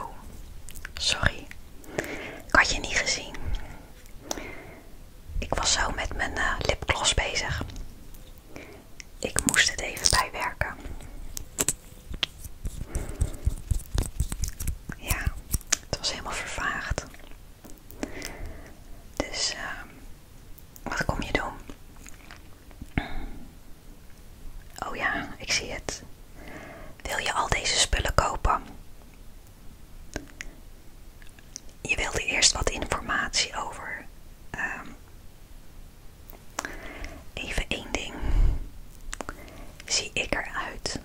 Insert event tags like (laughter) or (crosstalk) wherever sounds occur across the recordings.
Oh, sorry. Ik had je niet gezien. Ik was zo met mijn uh, lipgloss bezig. Ik moest het even bijwerken. Ja, het was helemaal vervaagd. Dus ehm, wat kom je doen? Oh ja, ik zie het. Wil je al deze spullen kopen? Je wilde eerst wat informatie over ehm, Even één ding. Zie ik eruit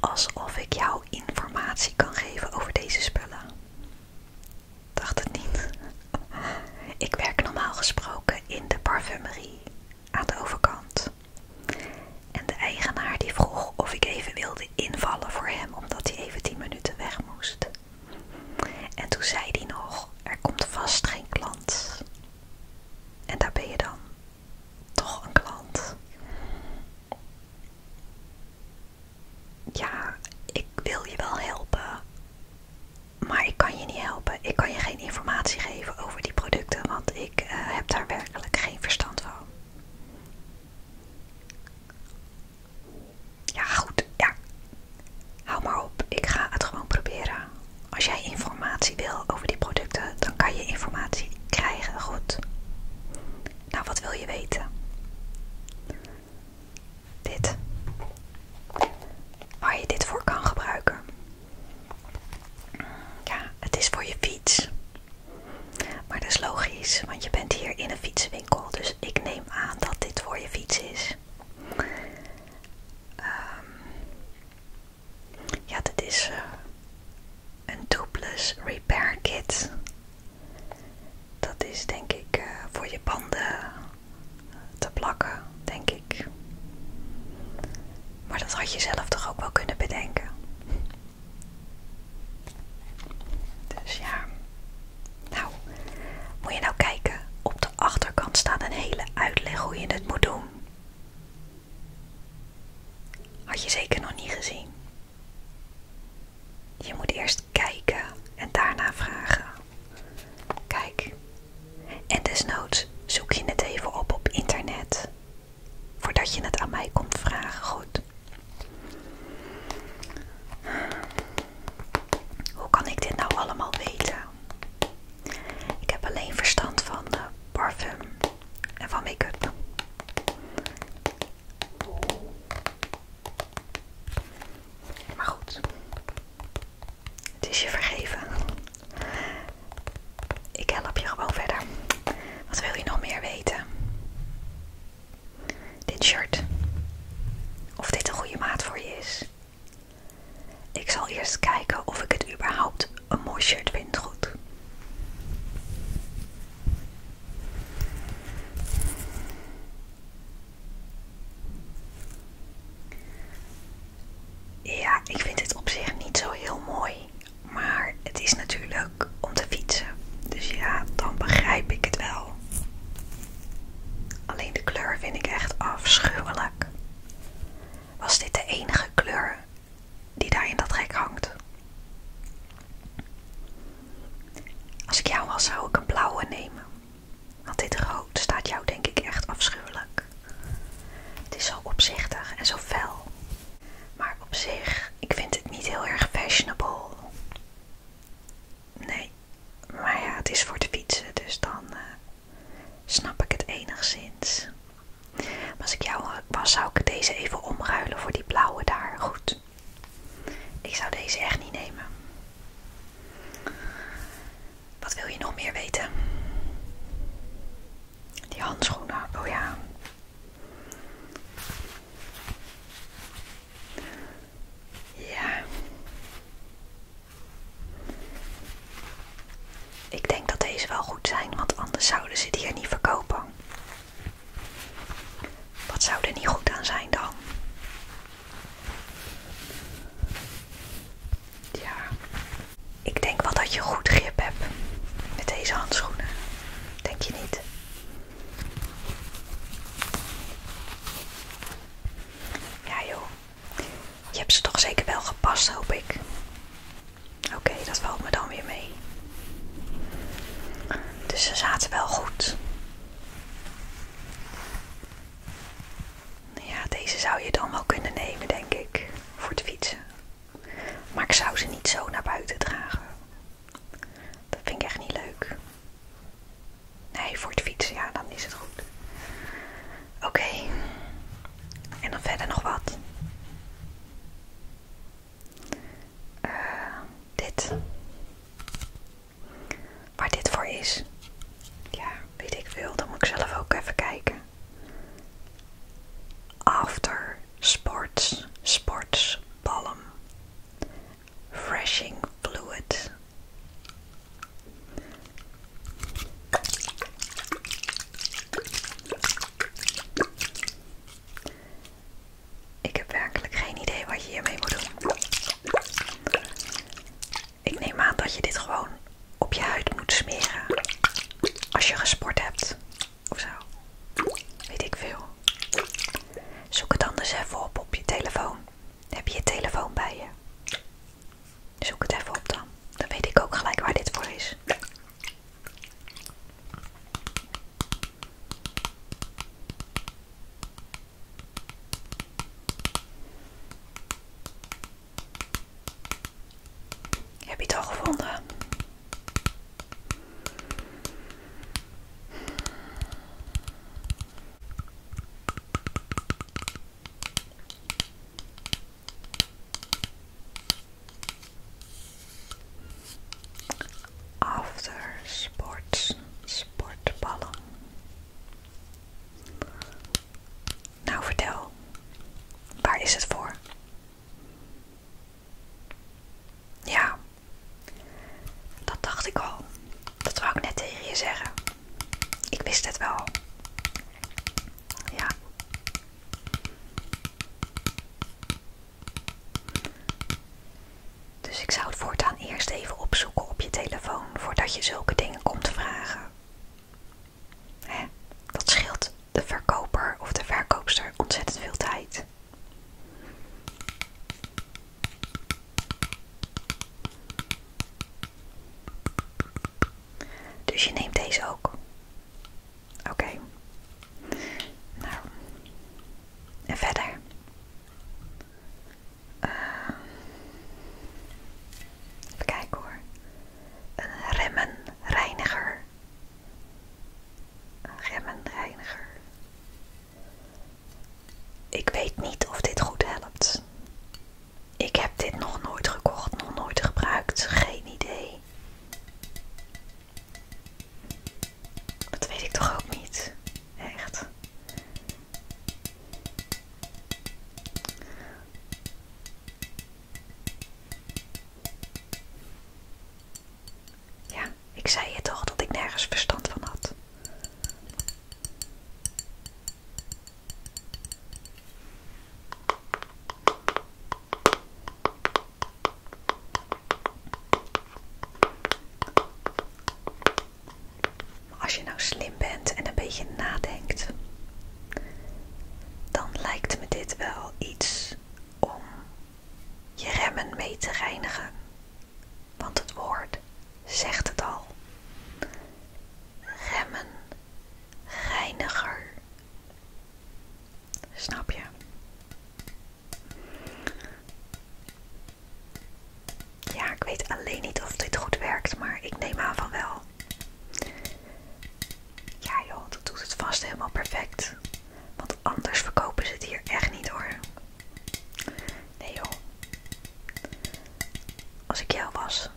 alsof ik jou informatie kan geven over deze spullen? Dacht het niet. (laughs) Ik werk normaal gesproken in de parfumerie aan de overkant. En de eigenaar die vroeg of ik even wilde invallen voor hem omdat hij even 10 minuten weg moest. En toen zei die nog, er komt vast geen klant. En daar ben je dan. Toch een klant. Ja, ik wil je wel helpen. Maar ik kan je niet helpen. Ik kan je geen informatie geven over die producten, want ik eh, heb daar werkelijk geen verstand van. Ja, goed. Ja. Hou maar op. Ik ga het gewoon proberen. Als jij informatie wil over die producten, dan kan je informatie krijgen. Goed. Nou, wat wil je weten? Dit. Waar je dit voor kan gebruiken. Ja, het is voor je fiets. Maar dat is logisch, want je bent hier in een fietswinkel, Dus ik neem aan dat dit voor je fiets is. Ehm, ja, dit is eh, een Tubeless Repair Kit. Dat is denk ik eh, voor je banden eh, te plakken, denk ik. Maar dat had je zelf toch ook wel kunnen bedenken. Dus ja, nou, moet je nou kijken. Op de achterkant staat een hele uitleg hoe je dit moet doen. Had je zeker nog niet gezien. Je moet eerst kijken en daarna vragen. Kijk. En desnoods zoek je het even op op internet. Voordat je het aan mij komt vragen, goed. Hoe kan ik dit nou allemaal weten? Ik heb alleen verstand van parfum en van make-up. Maar goed, het is je vergeven. Ik help je gewoon verder. Wat wil je nog meer weten? Dit shirt. Of dit een goede maat voor je is. Ik zal eerst kijken of ik het überhaupt een mooi shirt vind goed. Ja, ik vind het op zich niet zo heel mooi. Maar het is natuurlijk om te fietsen. Dus ja, dan begrijp ik het wel. Alleen de kleur vind ik echt afschuwelijk. Was dit de enige kleur die daar in dat rek hangt? Als ik jou was, zou ik een blauwe nemen. Want dit rood staat jou denk ik echt afschuwelijk. Het is zo opzichtig en zo fel. Maar op zich, ik vind het niet heel erg fashionable. Nee, maar ja, het is voor de fietsen, dus dan eh, snap ik het enigszins. als ik jou was, zou ik deze even omruilen voor die blauwe daar. Goed. Ik zou deze echt niet nemen. Wat wil je nog meer weten? Die handschoenen, oh ja. Ja. Ik denk dat deze wel goed zijn, want anders zouden ze die er niet verkopen. Wat zou er niet goed aan zijn dan? Ja, ik denk wel dat je goed grip hebt met deze handschoenen. Denk je niet? Ja joh, je hebt ze toch zeker wel gepast hoop ik. Oké, dat valt me dan weer mee. Dus ze zaten wel goed. Ja, deze zou je dan wel kunnen nemen, denk ik, voor het fietsen. Maar ik zou ze niet zo naar buiten dragen. Dat vind ik echt niet leuk. Nee, voor het fietsen, ja, dan is het goed. Oké. En dan verder nog wat. Eh, dit. Waar dit voor is. Ja, weet ik veel. Dan moet ik zelf ook even kijken. After sports, sports, balm, freshing fluid. Ik heb werkelijk geen idee wat je hiermee moet doen. Ik neem aan dat je dit gewoon op je huid moet smeren als je gesport hebt of zo. Weet ik veel. Zoek het anders even op op je telefoon. Heb je je telefoon bij je? Zoek het even op dan. Dan weet ik ook gelijk waar dit voor is. Heb je het al gevonden? After sports, sportballen. Nou vertel, waar is het voor? Ja, dat dacht ik al. Dat zou ik net tegen je zeggen. Ik wist het wel. Ja. Dus ik zou het voortaan eerst even opzoeken op je telefoon voordat je zulke dingen komt vragen. Hè? Dat scheelt de verkoper of de verkoopster ontzettend veel tijd. Dus je neemt deze ook. Oké. Nou. En verder. Uh, even kijken hoor. Een remmenreiniger een remmenreiniger. Ik weet niet of dit goed helpt. Ik heb dit nog nooit gekocht, nog nooit gebruikt, geen idee. Dat weet ik toch ook niet, echt. Ja, ik zei je toch dat ik nergens verstand van had. als je nou slim bent en een beetje nadenkt, dan lijkt me dit wel iets om je remmen mee te reinigen. Want het woord zegt het al. Remmen, reiniger. Snap je? Ja, ik weet alleen niet of dit goed werkt, maar ik neem aan van wel. Ja joh, dat doet het vast helemaal perfect. Want anders verkopen ze het hier echt niet hoor. Nee joh. Als ik jou was,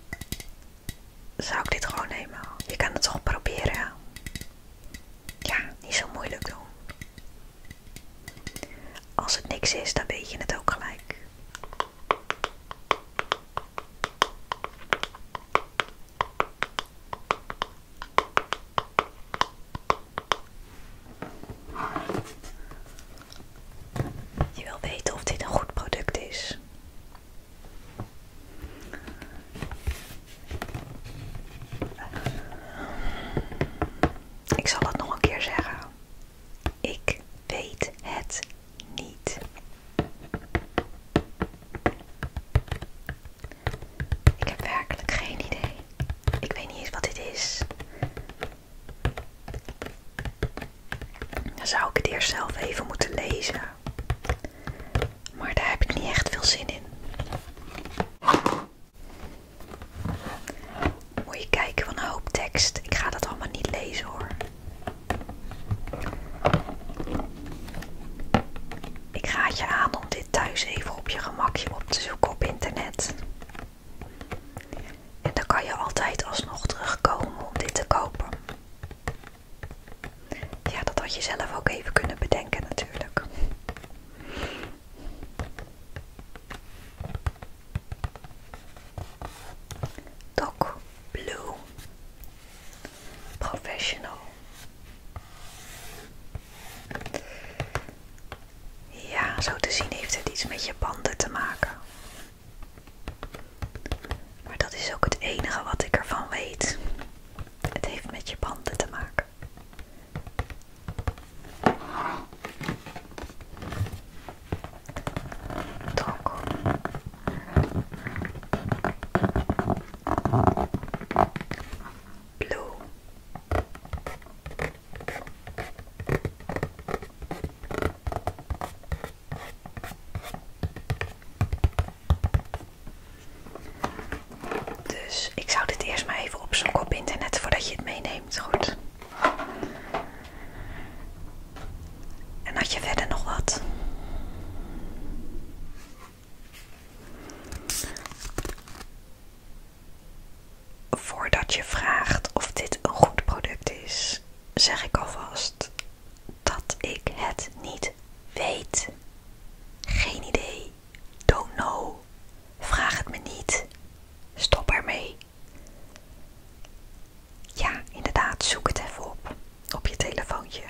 zou ik dit gewoon nemen. Je kan het toch proberen. Ja, niet zo moeilijk doen. Als het niks is, dan weet je het ook gelijk. Je wil weten of dit een goed product is. Ik zal het nog een keer zeggen. Ik weet het niet. Ik heb werkelijk geen idee. Ik weet niet eens wat dit is. Dan zou ik het eerst zelf even moeten lezen. Maar daar heb ik niet echt veel zin in. Moet je kijken van een hoop tekst. Ik ga dat allemaal niet lezen hoor. Ik raad je aan om dit thuis even op je gemakje op te zoeken op internet. En dan kan je altijd alsnog terugkomen om dit te kopen. Ja, dat had je zelf ook even kunnen bedenken natuurlijk. Doc Blue Professional. Ja, zo te zien heeft het iets met je banden te maken. Maar dat is ook het enige wat ik ervan weet. Het heeft met je banden te maken. Drogo. Blauw. Dus ik zou dit eerst maar even opzoeken op internet voordat je het meeneemt. Goed. En had je verder nog wat? Voordat je vraagt of dit een goed product is, zeg ik alvast dat ik het niet weet. Geen idee. Don't know. Vraag het me niet. Stop ermee. Ja, inderdaad, zoek het even op. Op je telefoontje.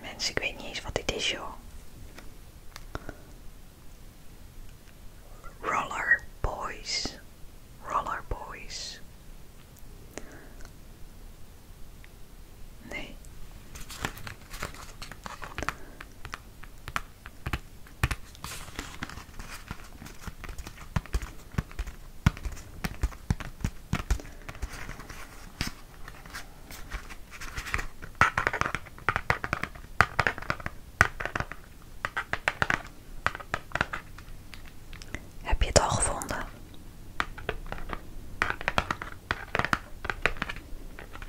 Mensen, ik weet niet eens wat dit is, joh. Roller Boys. Roller Boys. Nee. Heb je het al gevonden?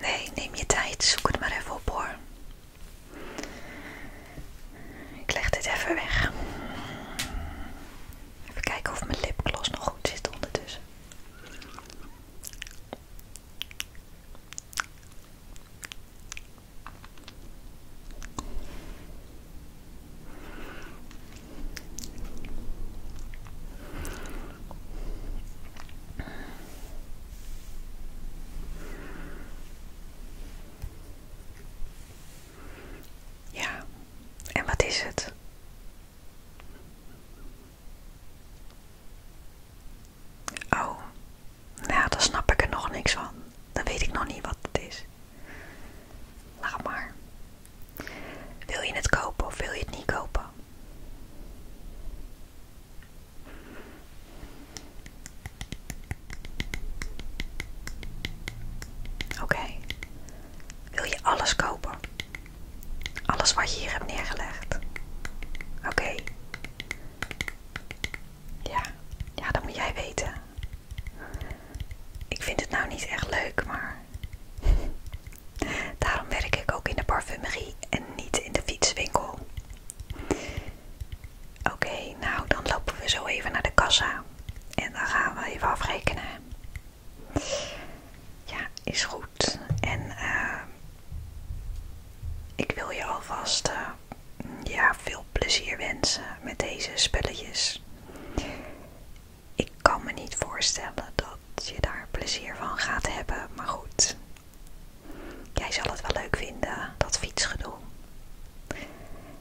Nee, neem je tijd. Zoek het maar even op hoor. Ik leg dit even weg. Even kijken of mijn lipgloss nog goed zit ondertussen. Ja, en wat is het? Oh, nou, dan snap ik er nog niks van. Dan weet ik nog niet wat het is. Laat maar. Wil je het kopen of wil je het niet kopen? Oké, wil je alles kopen? Alles wat je hier hebt neergelegd? Oké. Ja, ja, dan moet jij weten. Ik vind het nou niet echt leuk, maar Daarom werk ik ook in de parfumerie en niet in de fietswinkel. Oké, nou dan lopen we zo even naar de kassa en dan gaan we even afrekenen. Ja, is goed. En eh, ik wil je alvast eh, ja, veel plezier wensen met deze spulletjes. Ik kan me niet voorstellen dat dat je daar plezier van gaat hebben. Maar goed, jij zal het wel leuk vinden, dat fietsgedoe.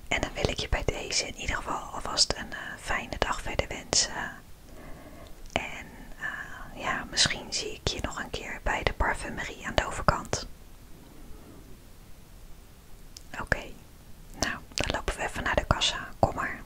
En dan wil ik je bij deze in ieder geval alvast een eh, fijne dag verder wensen. En eh, ja, misschien zie ik je nog een keer bij de parfumerie aan de overkant. Oké, nou, dan lopen we even naar de kassa. Kom maar.